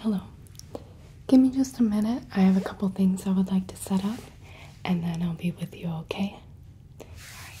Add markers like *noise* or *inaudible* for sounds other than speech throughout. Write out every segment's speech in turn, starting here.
Hello. Give me just a minute. I have a couple things I would like to set up and then I'll be with you, okay? All right.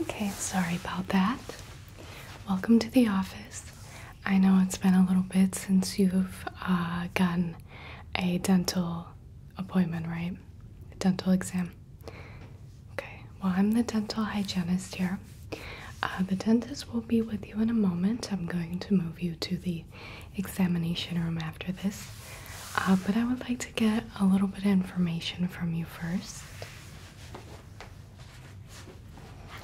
Okay, sorry about that. Welcome to the office. I know it's been a little bit since you've uh, gotten a dental appointment, right? A dental exam. Okay, well, I'm the dental hygienist here. Uh, the dentist will be with you in a moment. I'm going to move you to the examination room after this, uh, but I would like to get a little bit of information from you first.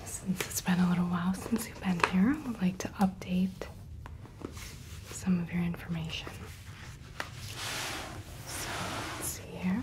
Since it's been a little while since you've been here, I would like to update some of your information. So let's see here.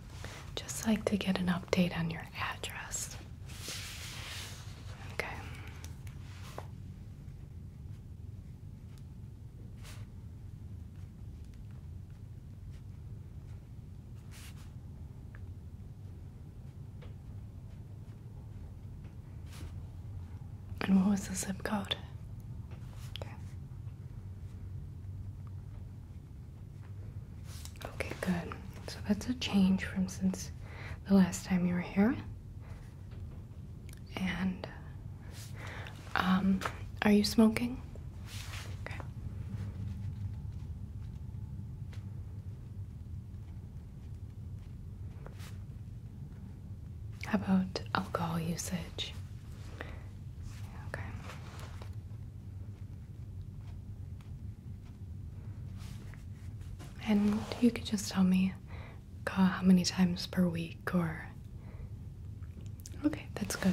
just like to get an update on your address. Okay. And what was the zip code? Okay. Okay, good. So that's a change from since the last time you were here. And um, are you smoking? How about alcohol usage? Okay. And you could just tell me how many times per week or. Okay, that's good.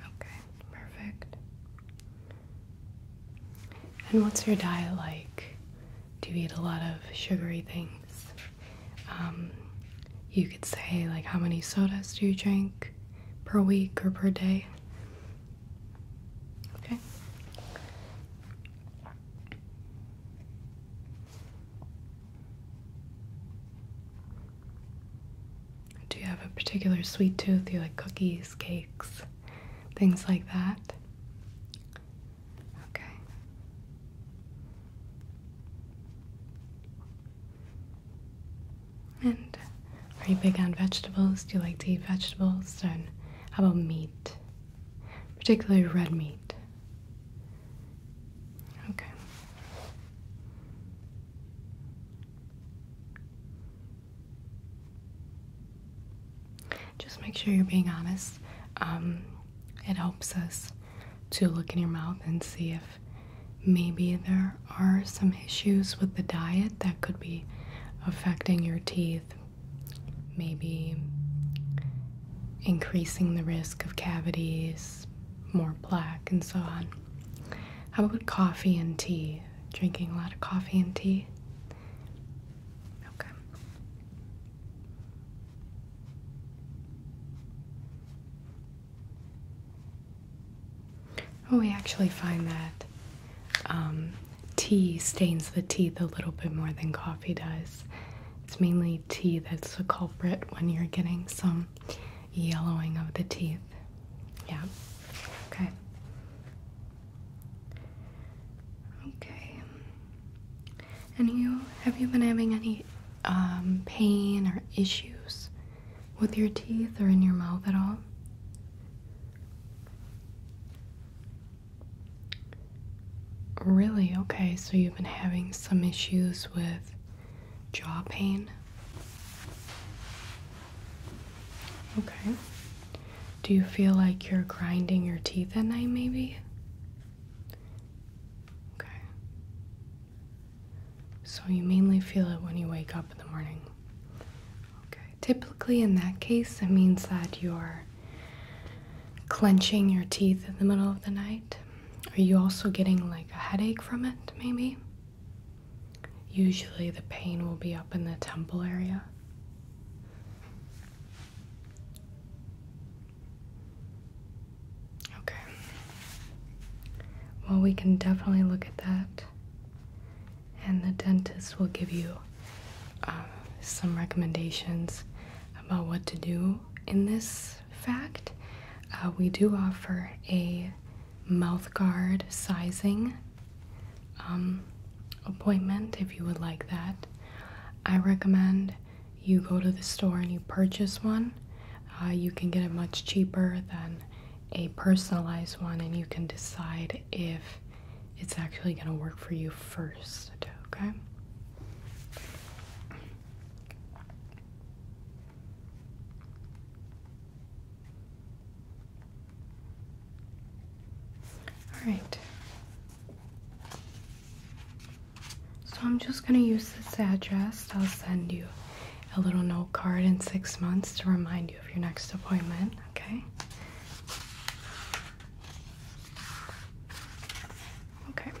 Okay, perfect. And what's your diet like? do you eat a lot of sugary things. Um, you could say, like, how many sodas do you drink per week or per day? Okay. Do you have a particular sweet tooth? Do you like cookies, cakes, things like that? Okay. And are you big on vegetables? Do you like to eat vegetables? And how about meat? Particularly red meat. Okay. Just make sure you're being honest. Um, it helps us to look in your mouth and see if maybe there are some issues with the diet that could be affecting your teeth, maybe increasing the risk of cavities, more plaque, and so on. How about coffee and tea? Drinking a lot of coffee and tea? Okay. Oh, we actually find that um, tea stains the teeth a little bit more than coffee does. It's mainly tea that's the culprit when you're getting some yellowing of the teeth. Yeah. Okay. Okay. And you have you been having any um, pain or issues with your teeth or in your mouth at all? Really? Okay, so you've been having some issues with jaw pain. Okay. Do you feel like you're grinding your teeth at night, maybe? Okay. So you mainly feel it when you wake up in the morning. Okay. Typically, in that case, it means that you're clenching your teeth in the middle of the night. Are you also getting like a headache from it, maybe? Usually, the pain will be up in the temple area. Okay. Well, we can definitely look at that. And the dentist will give you um, some recommendations about what to do in this fact. Uh, we do offer a mouth guard sizing um, appointment if you would like that. I recommend you go to the store and you purchase one. Uh, you can get it much cheaper than a personalized one, and you can decide if it's actually going to work for you first. Okay. All right, so I'm just going to use this address. I'll send you a little note card in six months to remind you of your next appointment, okay? Okay.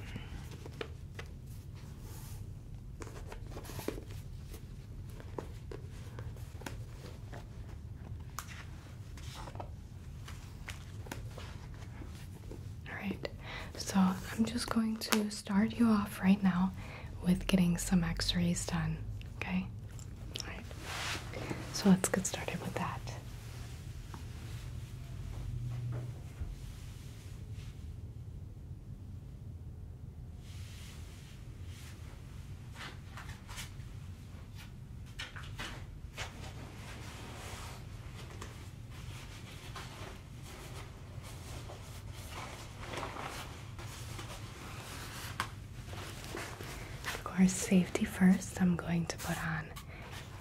Alright, so I'm just going to start you off right now with getting some x rays done, okay? Alright, so let's get started with that. Of course, safety first. I'm going to put on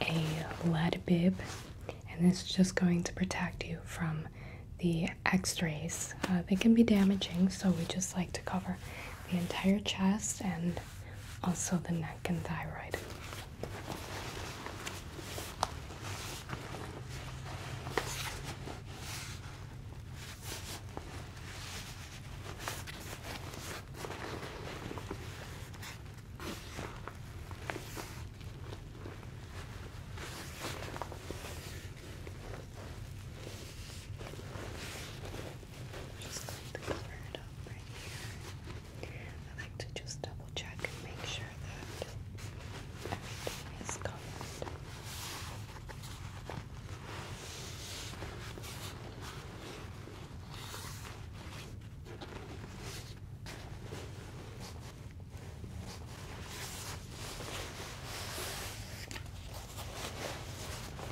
a lead bib, and this is just going to protect you from the x rays. Uh, they can be damaging, so we just like to cover the entire chest and also the neck and thyroid. Just going to cover it up right here. I like to just double check and make sure that everything is covered.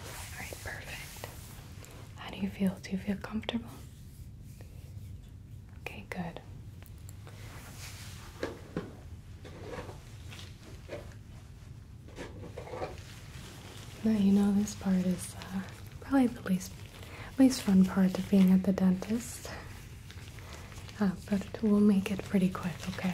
All right, perfect. How do you feel? Do you feel comfortable? Okay, good. Now you know this part is uh, probably the least least fun part of being at the dentist, uh, but we'll make it pretty quick. Okay.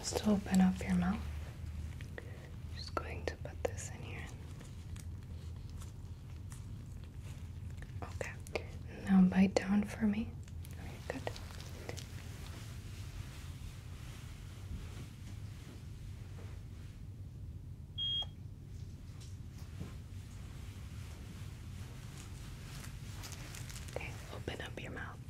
just open up your mouth. Just going to put this in here. Okay, now bite down for me. Okay, good. Okay, open up your mouth.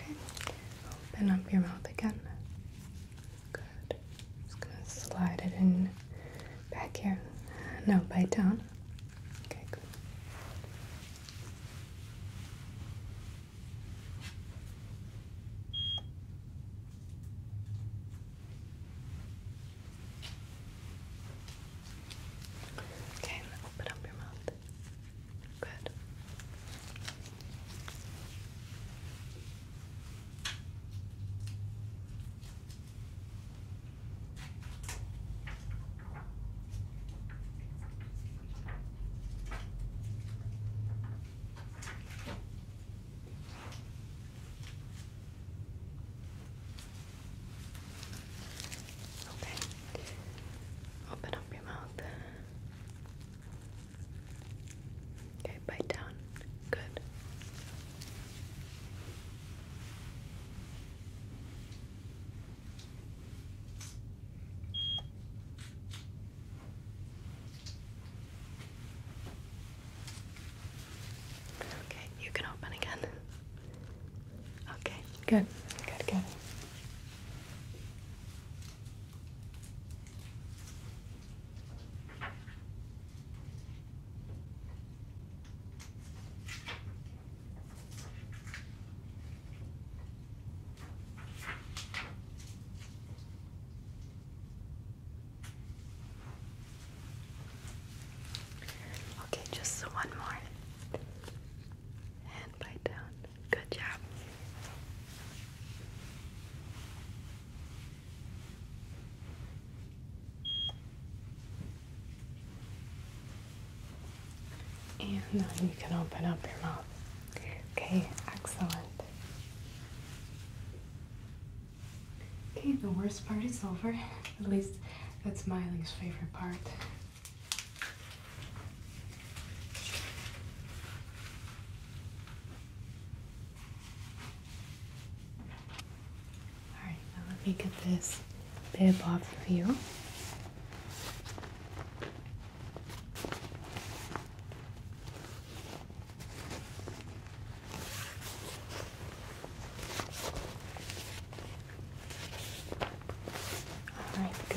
Okay. Open up your mouth again. Good. Just gonna slide it in back here. No, bite down. Okay, good. Okay, open up your mouth. Good. Good. Okay. Open up your mouth. Okay, bite down. Good. Okay, you can open again. *laughs* Okay, good, good, good. Okay, just one more. And bite down. Good job. And now you can open up your mouth. Okay, excellent. Okay, the worst part is over. At least that's Miley's favorite part. Alright, let me get this bib off of you. All right, good.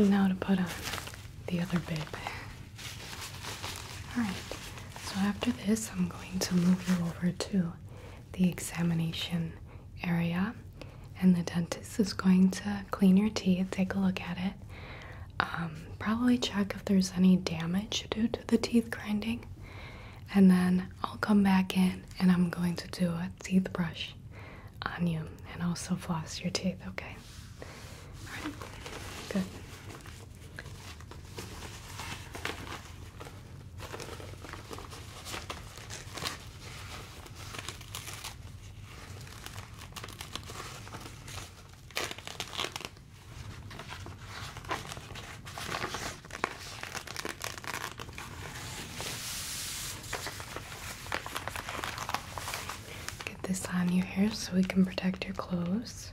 No, to put on the other bit. Alright, so after this, I'm going to move you over to the examination area, and the dentist is going to clean your teeth, take a look at it, um, probably check if there's any damage due to the teeth grinding, and then I'll come back in and I'm going to do a teeth brush on you and also floss your teeth, okay? All right. Good this on your hair, so we can protect your clothes.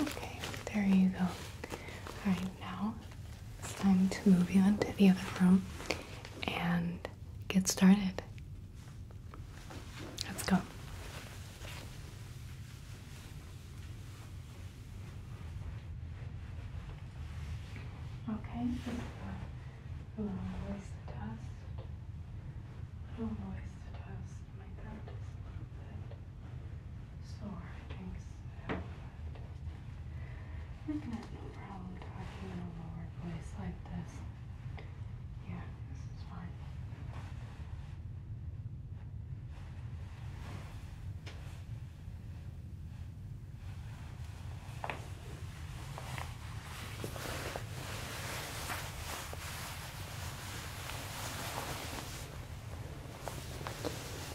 Okay, there you go. Alright, now it's time to move you into the other room and get started. Let's go. Okay, I don't want to waste the dust. I don't want to waste the dust. My throat is a little bit sore, I think. So, but I have no problem talking in a lower voice like this. Yeah, this is fine.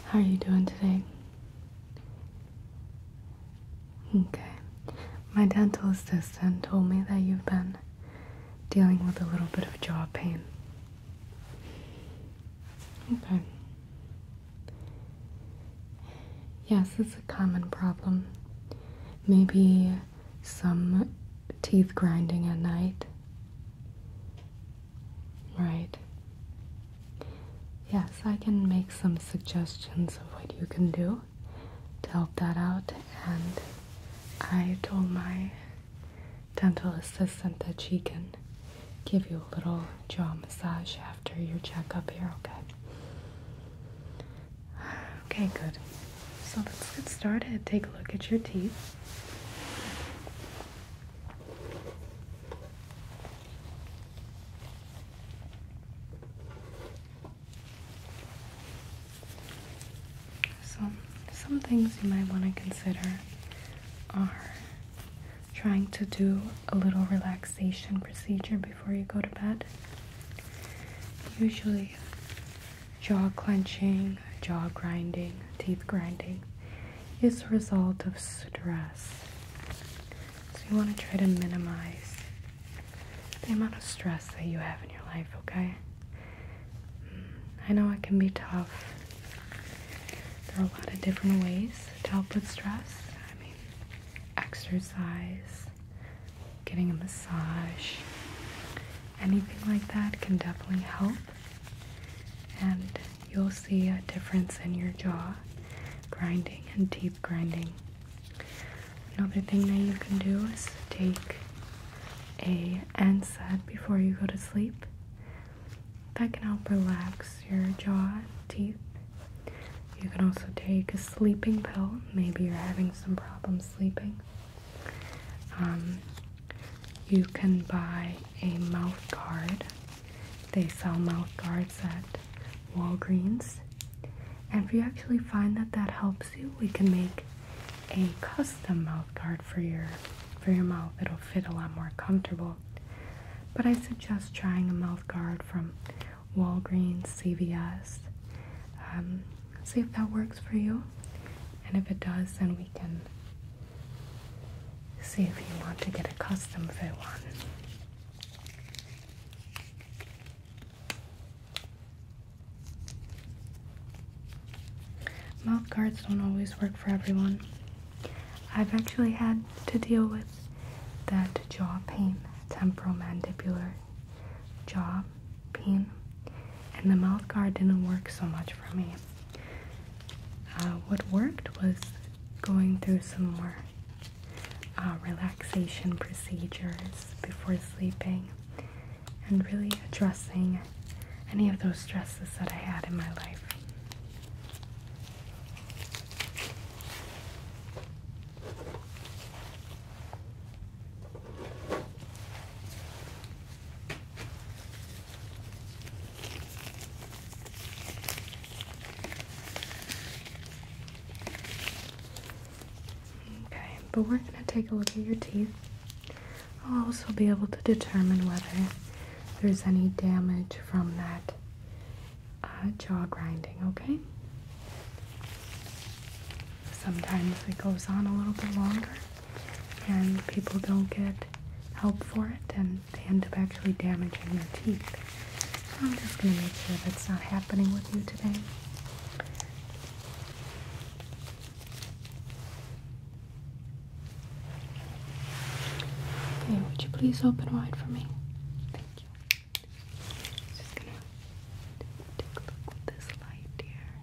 How are you doing today? Okay. My dental assistant told me that you've been dealing with a little bit of jaw pain. Okay. Yes, it's a common problem. Maybe some teeth grinding at night. Right. Yes, I can make some suggestions of what you can do to help that out. And I told my dental assistant that she can give you a little jaw massage after your checkup here, okay? Okay, good. So let's get started. Take a look at your teeth. So, some things you might want to consider are trying to do a little relaxation procedure before you go to bed. Usually, jaw clenching, jaw grinding, teeth grinding is a result of stress. So you want to try to minimize the amount of stress that you have in your life, okay? I know it can be tough. There are a lot of different ways to help with stress. I mean, exercise, getting a massage, anything like that can definitely help. And you'll see a difference in your jaw grinding and deep grinding. Another thing that you can do is take a NSAID before you go to sleep. That can help relax your jaw, teeth. You can also take a sleeping pill. Maybe you're having some problems sleeping. Um, you can buy a mouth guard. They sell mouth guards at Walgreens. And if you actually find that that helps you, we can make a custom mouth guard for your for your mouth. It'll fit a lot more comfortable. But I suggest trying a mouth guard from Walgreens, CVS. Um, See if that works for you. And if it does, then we can see if you want to get a custom fit one. Mouth guards don't always work for everyone. I've actually had to deal with that jaw pain, temporal mandibular jaw, pain, and the mouth guard didn't work so much for me. Uh, what worked was going through some more uh, relaxation procedures before sleeping and really addressing any of those stresses that I had in my life. Okay, but we're going to take a look at your teeth. I'll also be able to determine whether there's any damage from that uh, jaw grinding, okay? sometimes it goes on a little bit longer and people don't get help for it and they end up actually damaging their teeth. So I'm just going to make sure that's not happening with you today. Okay, would you please open wide for me? Thank you. Just gonna take a look with this light here.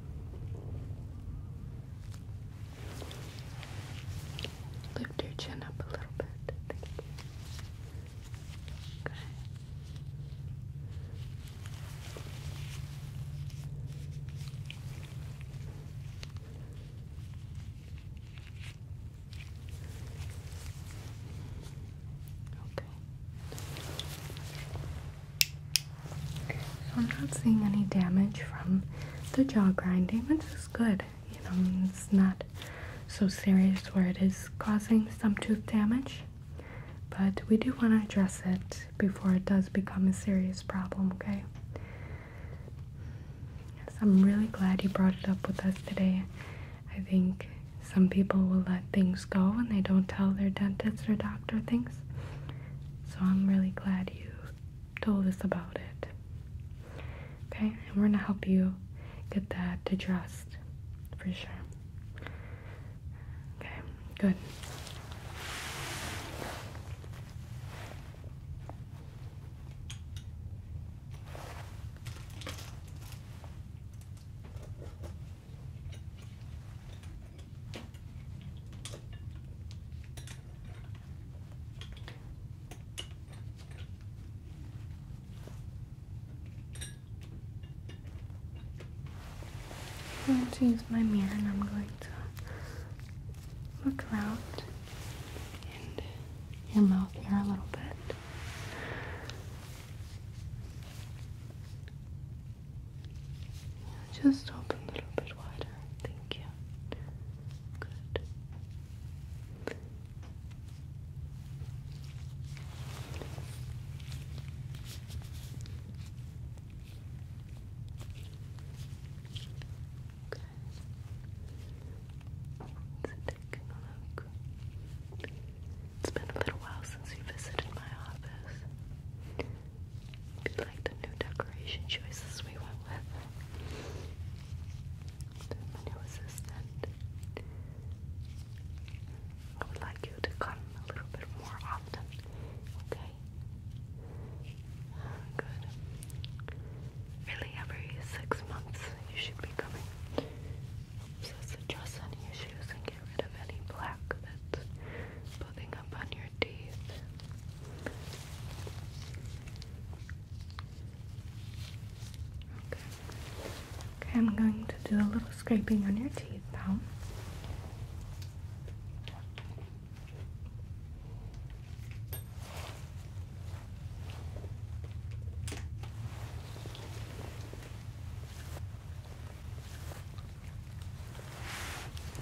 Lift your chin up a little bit. Okay. Okay. I'm not seeing any damage from the jaw grinding, which is good. You know, it's not so serious where it is causing some tooth damage, but we do want to address it before it does become a serious problem, okay? So I'm really glad you brought it up with us today. I think some people will let things go and they don't tell their dentist or doctor things. So I'm really glad you told us about it. Okay, and we're gonna help you get that addressed for sure. Okay, good. I'm going to use my mirror and I'm going to look around and your mouth here a little bit. Just open a little bit wider. Thank you. Good. Okay. Let's take a look. It's been a little while since you visited my office. We like the new decoration choices we went with. new assistant. I would like you to come a little bit more often, okay? Good. Really, every six months you should be coming. Just address any issues and get rid of any black that's pulling up on your teeth. Okay. Okay, I'm going to do a little scraping on your teeth now.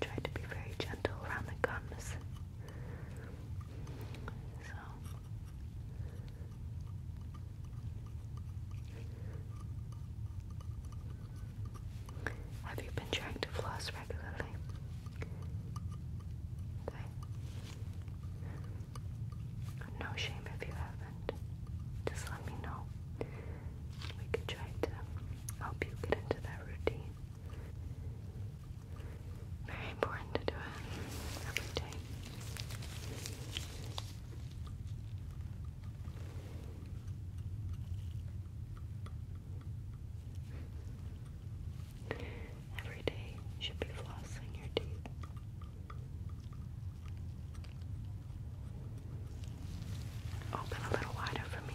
Try to be very gentle around the gums. So have you been trying to floss regularly? No shame if you haven't. Just let me know. We could try to help you get into that routine. Very important to do it every day. Every day you should be flossing your teeth. Open a little wider for me.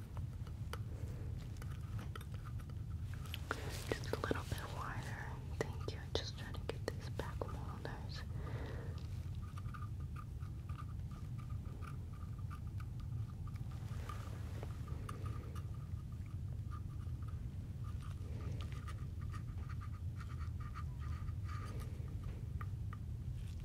Just a little bit wider. Thank you. I just try to get these back molars.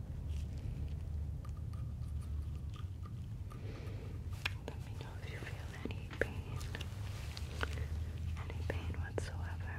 Let me know if you feel any pain, any pain whatsoever.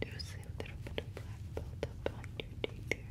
There's a little bit of black built on your teacher. Good.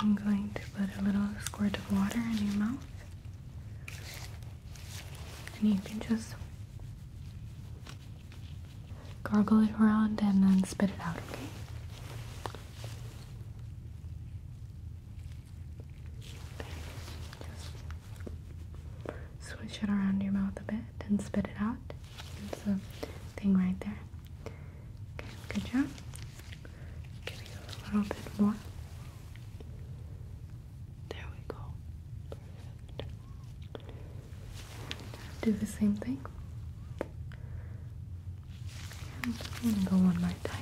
I'm going to put a little squirt of water in your mouth, and you can just gargle it around and then spit it out, okay? Switch it around your mouth a bit and spit it out. It's a thing right there. Okay, good job. Give you a little bit more. There we go. Perfect. Do the same thing. I'm gonna go one more time.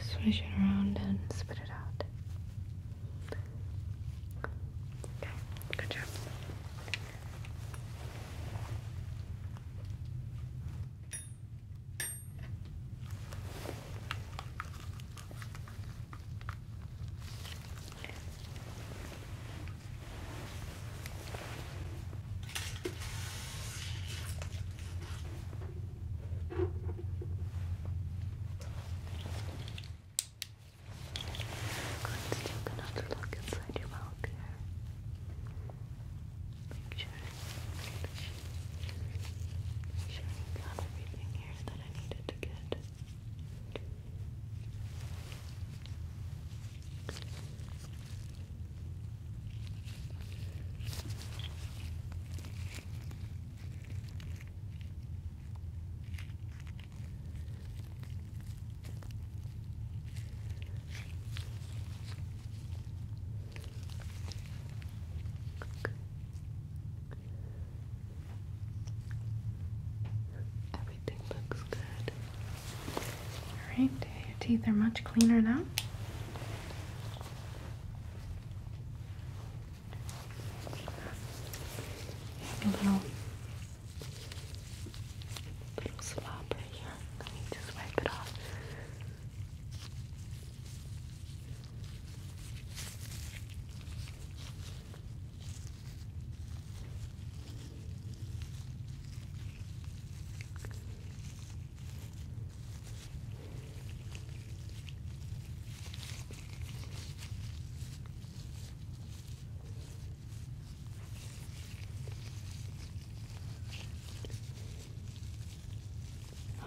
Swish it around and spit it out. Okay, good job. Let's take another look inside your mouth here. Make sure, make sure I got everything here that I needed to get. Okay. Everything looks good. Alright, your teeth are much cleaner now. A little, little slop here. Let me just wipe it off.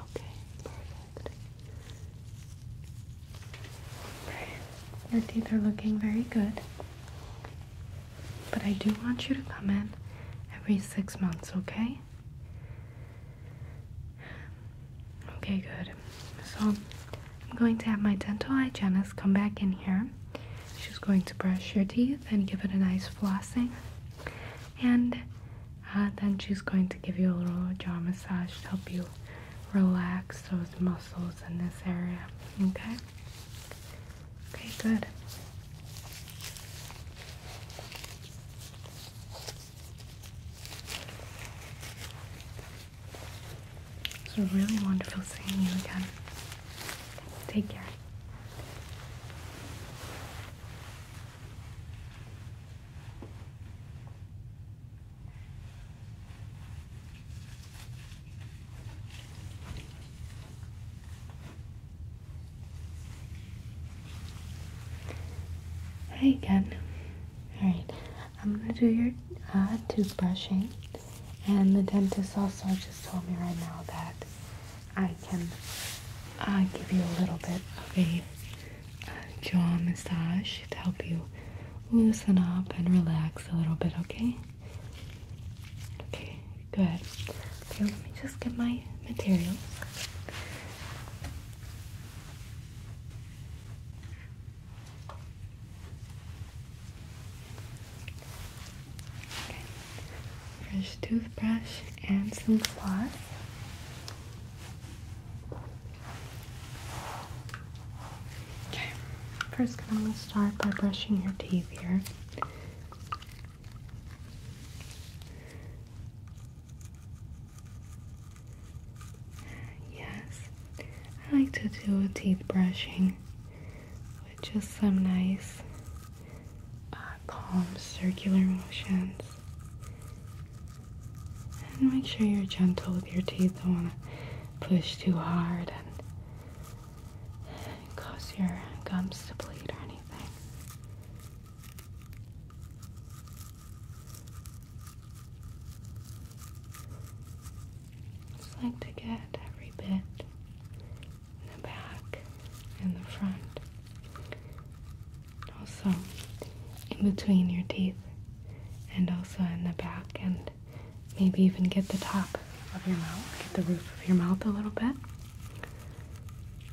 Okay, perfect. Your teeth are looking very good. But I do want you to come in every six months, okay? Okay, good. So I'm going to have my dental hygienist come back in here. She's going to brush your teeth and give it a nice flossing. And uh, then she's going to give you a little jaw massage to help you relax those muscles in this area. Okay? Okay, good. It's really wonderful seeing you again. Take care. Hey again. Alright, I'm gonna do your uh, tooth brushing. And the dentist also just told me right now that I can uh, give you a little bit of a uh, jaw massage to help you loosen up and relax a little bit, okay? Okay, good. Okay, let me just get my materials. Fresh toothbrush and some floss. Okay. First, I'm going to start by brushing your teeth here. Yes, I like to do a teeth brushing with just some nice, uh, calm circular motions. And make sure you're gentle with your teeth. Don't want to push too hard and cause your gums to bleed or anything. Just like to get every bit in the back and the front. Also in between your teeth and also in the back and maybe even get the top of your mouth, get the roof of your mouth a little bit.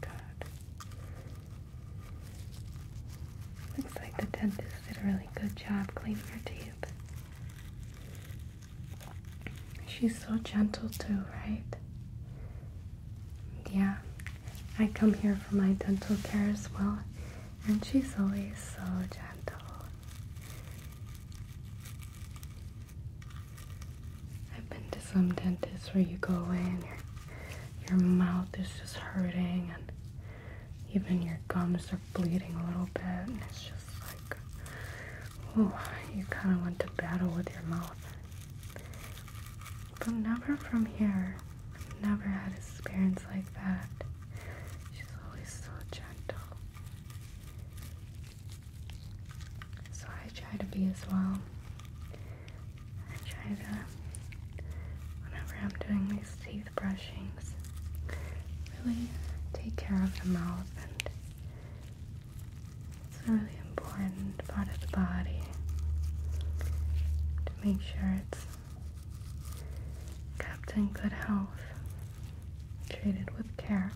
Good. Looks like the dentist did a really good job cleaning your teeth. She's so gentle too, right? Yeah, I come here for my dental care as well, and she's always so gentle I've been to some dentists where you go away and your, your mouth is just hurting and even your gums are bleeding a little bit and it's just like, oh, you kind of want to battle with your mouth. But never from here. I've never had experience like that. She's always so gentle. So I try to be as well. I try to, whenever I'm doing these teeth brushings, really take care of the mouth and it's a really important part of the body to make sure it's kept in good health treated with care.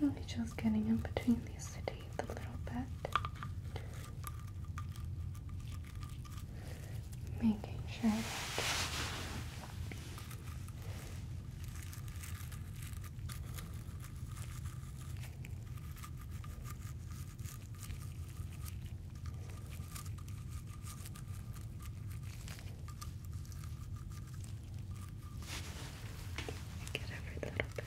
Really just getting in between these teeth a little bit. Making sure that Get every little bit.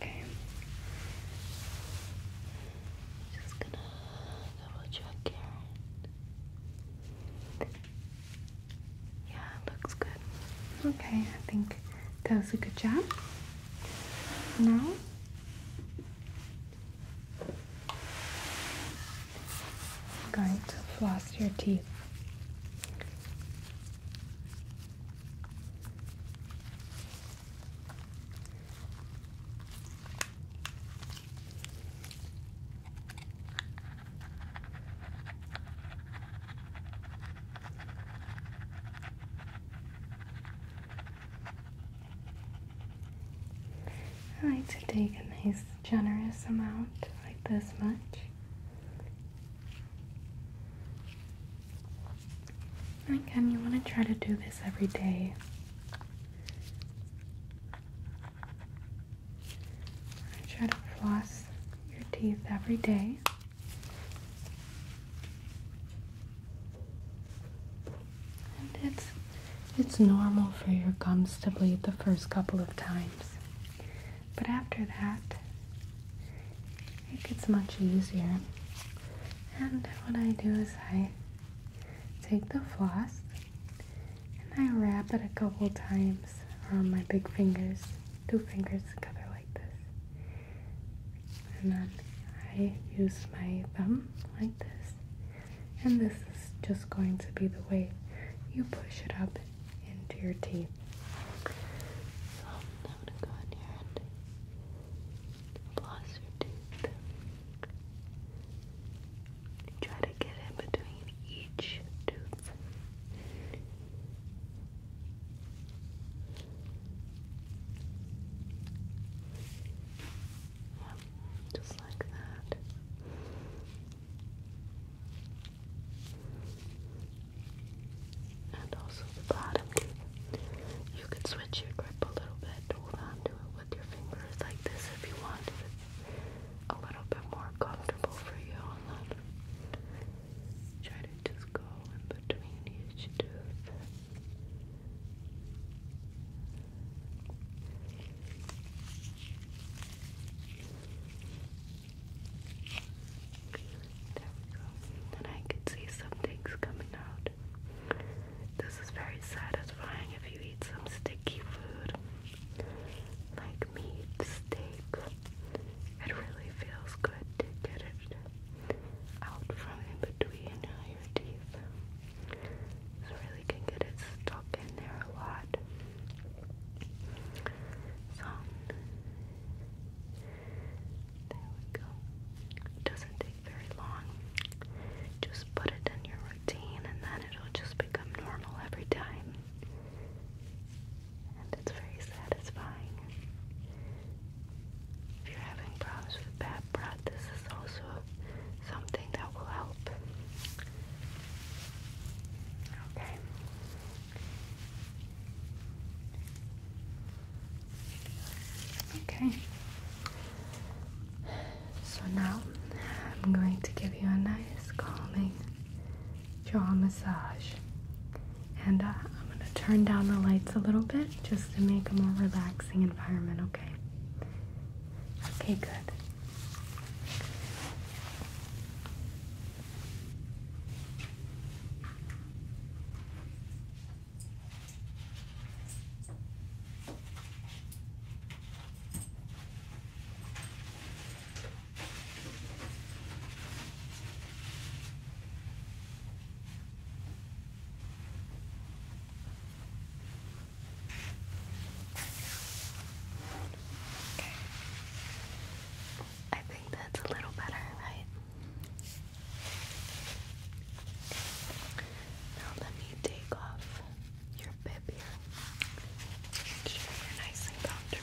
Okay. Just gonna double check, Yeah, looks good. Okay, I think that was a good job. Now, I'm going to floss your teeth. I like to take a nice generous amount, like this much. And again, you want to try to do this every day. I try to floss your teeth every day. And it's it's normal for your gums to bleed the first couple of times. But after that, it gets much easier. And what I do is I take the floss and I wrap it a couple times on my big fingers, two fingers together like this. And then I use my thumb like this. And this is just going to be the way you push it up into your teeth. So I'm gonna go in here and floss your teeth. Try to get in between each tooth. Yeah, just like that. And also the bottom. You can switch your grip a little bit, hold on it with your fingers like this if you want it's a little bit more comfortable for you on that. Try to just go in between each tooth. There we go. And I can see some things coming out. This is very satisfying if you eat some sticky food like meat, steak. It really feels good to get it out from in between your teeth. So really can get it stuck in there a lot. So there we go. doesn't very long. Just put it in your routine and then it'll just become normal every time. And it's very satisfying. If you're having problems with bad breath, this is also something that will help. Okay. Okay. So now I'm going to give you a nice calming jaw massage. And uh, I'm going to turn down the lights a little bit just to make a more relaxing environment, okay? Okay, good. Okay. I think that's a little better, right? Now let me take off your bib here. Make sure you're nice and comfortable.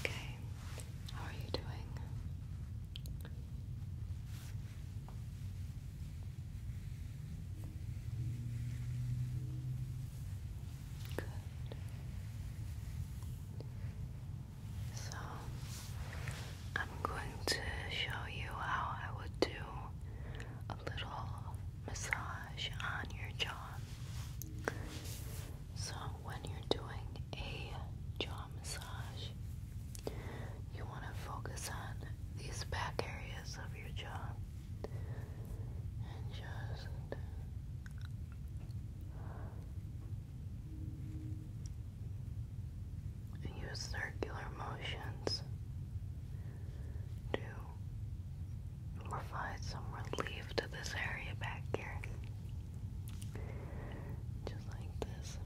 Okay, how are you doing? Good. So I'm going to show you how I would do a little massage on your jaw. So, when you're doing a jaw massage, you want to focus on these back areas of your jaw and just Use circular motions to provide some relief to this area back here. Just like this.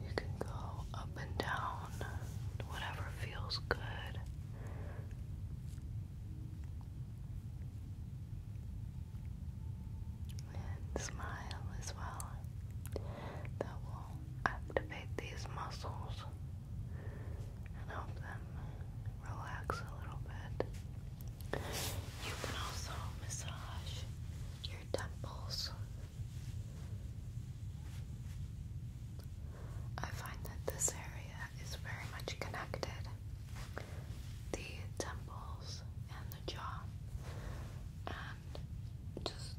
You can go up and down whatever feels good and smile as well that will activate these muscles and help them relax a little bit. You can also massage your temples. I find that this area is very much connected. The temples and the jaw just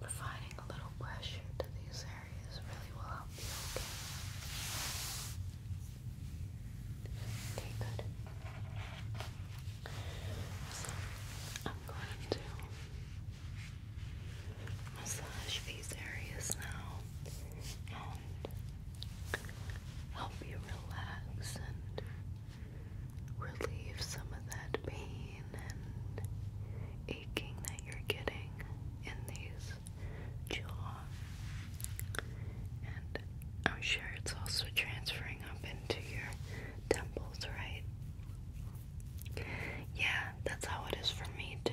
providing a little pressure to these areas really will help you, okay? good. So, I'm going to massage these areas now and help you relax and relieve some of that pain and aching that you're getting in these jaw. And I'm sure it's also transferring up into your temples, right? Yeah, that's how it is for me, too.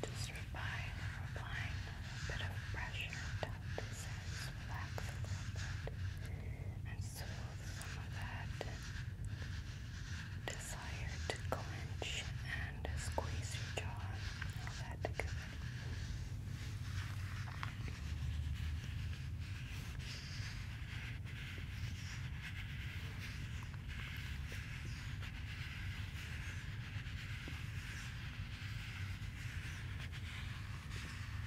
Just replying, applying a bit of pressure to that says relax a little bit and soothe some of that desire to clench and squeeze your jaw all that together.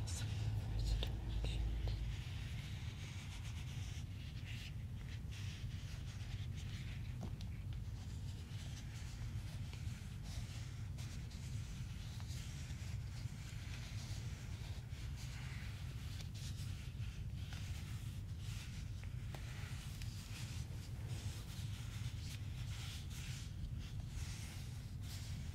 also in reverse directions. Just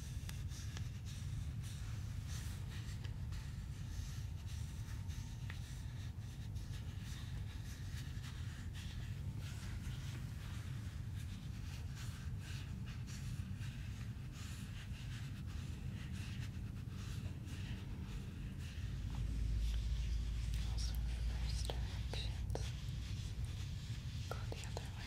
Also reverse directions. Go the other way.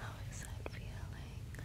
How is that feeling? Good.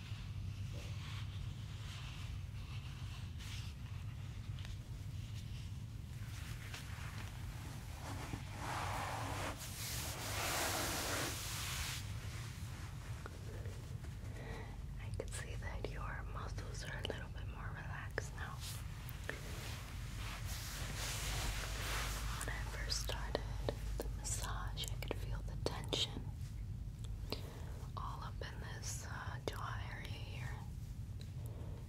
I can see that your muscles are a little bit more relaxed now. When I first started the massage, I could feel the tension all up in this uh, jaw area here.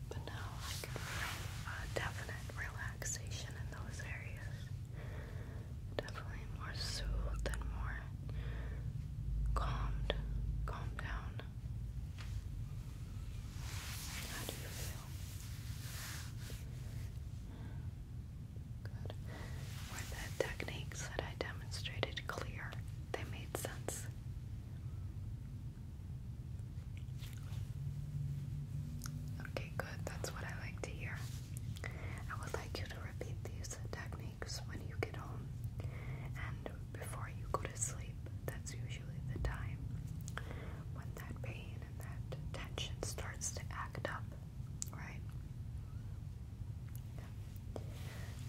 But now I can definite relaxation in those areas. Definitely more soothed and more calmed, calmed down. How do you feel? Were the techniques that I demonstrated clear? They made sense. Okay, good. That's what I like to hear. I would like you to repeat these techniques when you get home and before you go to sleep. That's usually the time when that pain and that tension starts to act up right?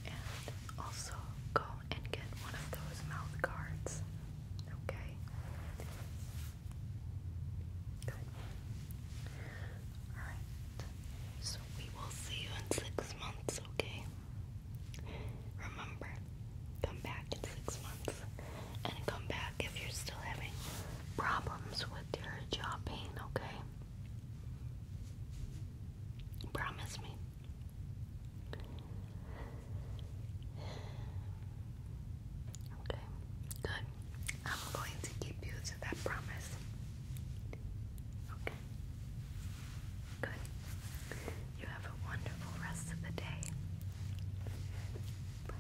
And also go and get one of those mouth guards, okay? Good. Alright. So we will see you in six months, okay? Remember, come back in six months. And come back if you're still having problems with your jaw pain, okay? Promise me. Okay, good. I'm going to keep you to that promise. Okay, good. You have a wonderful rest of the day. Bye.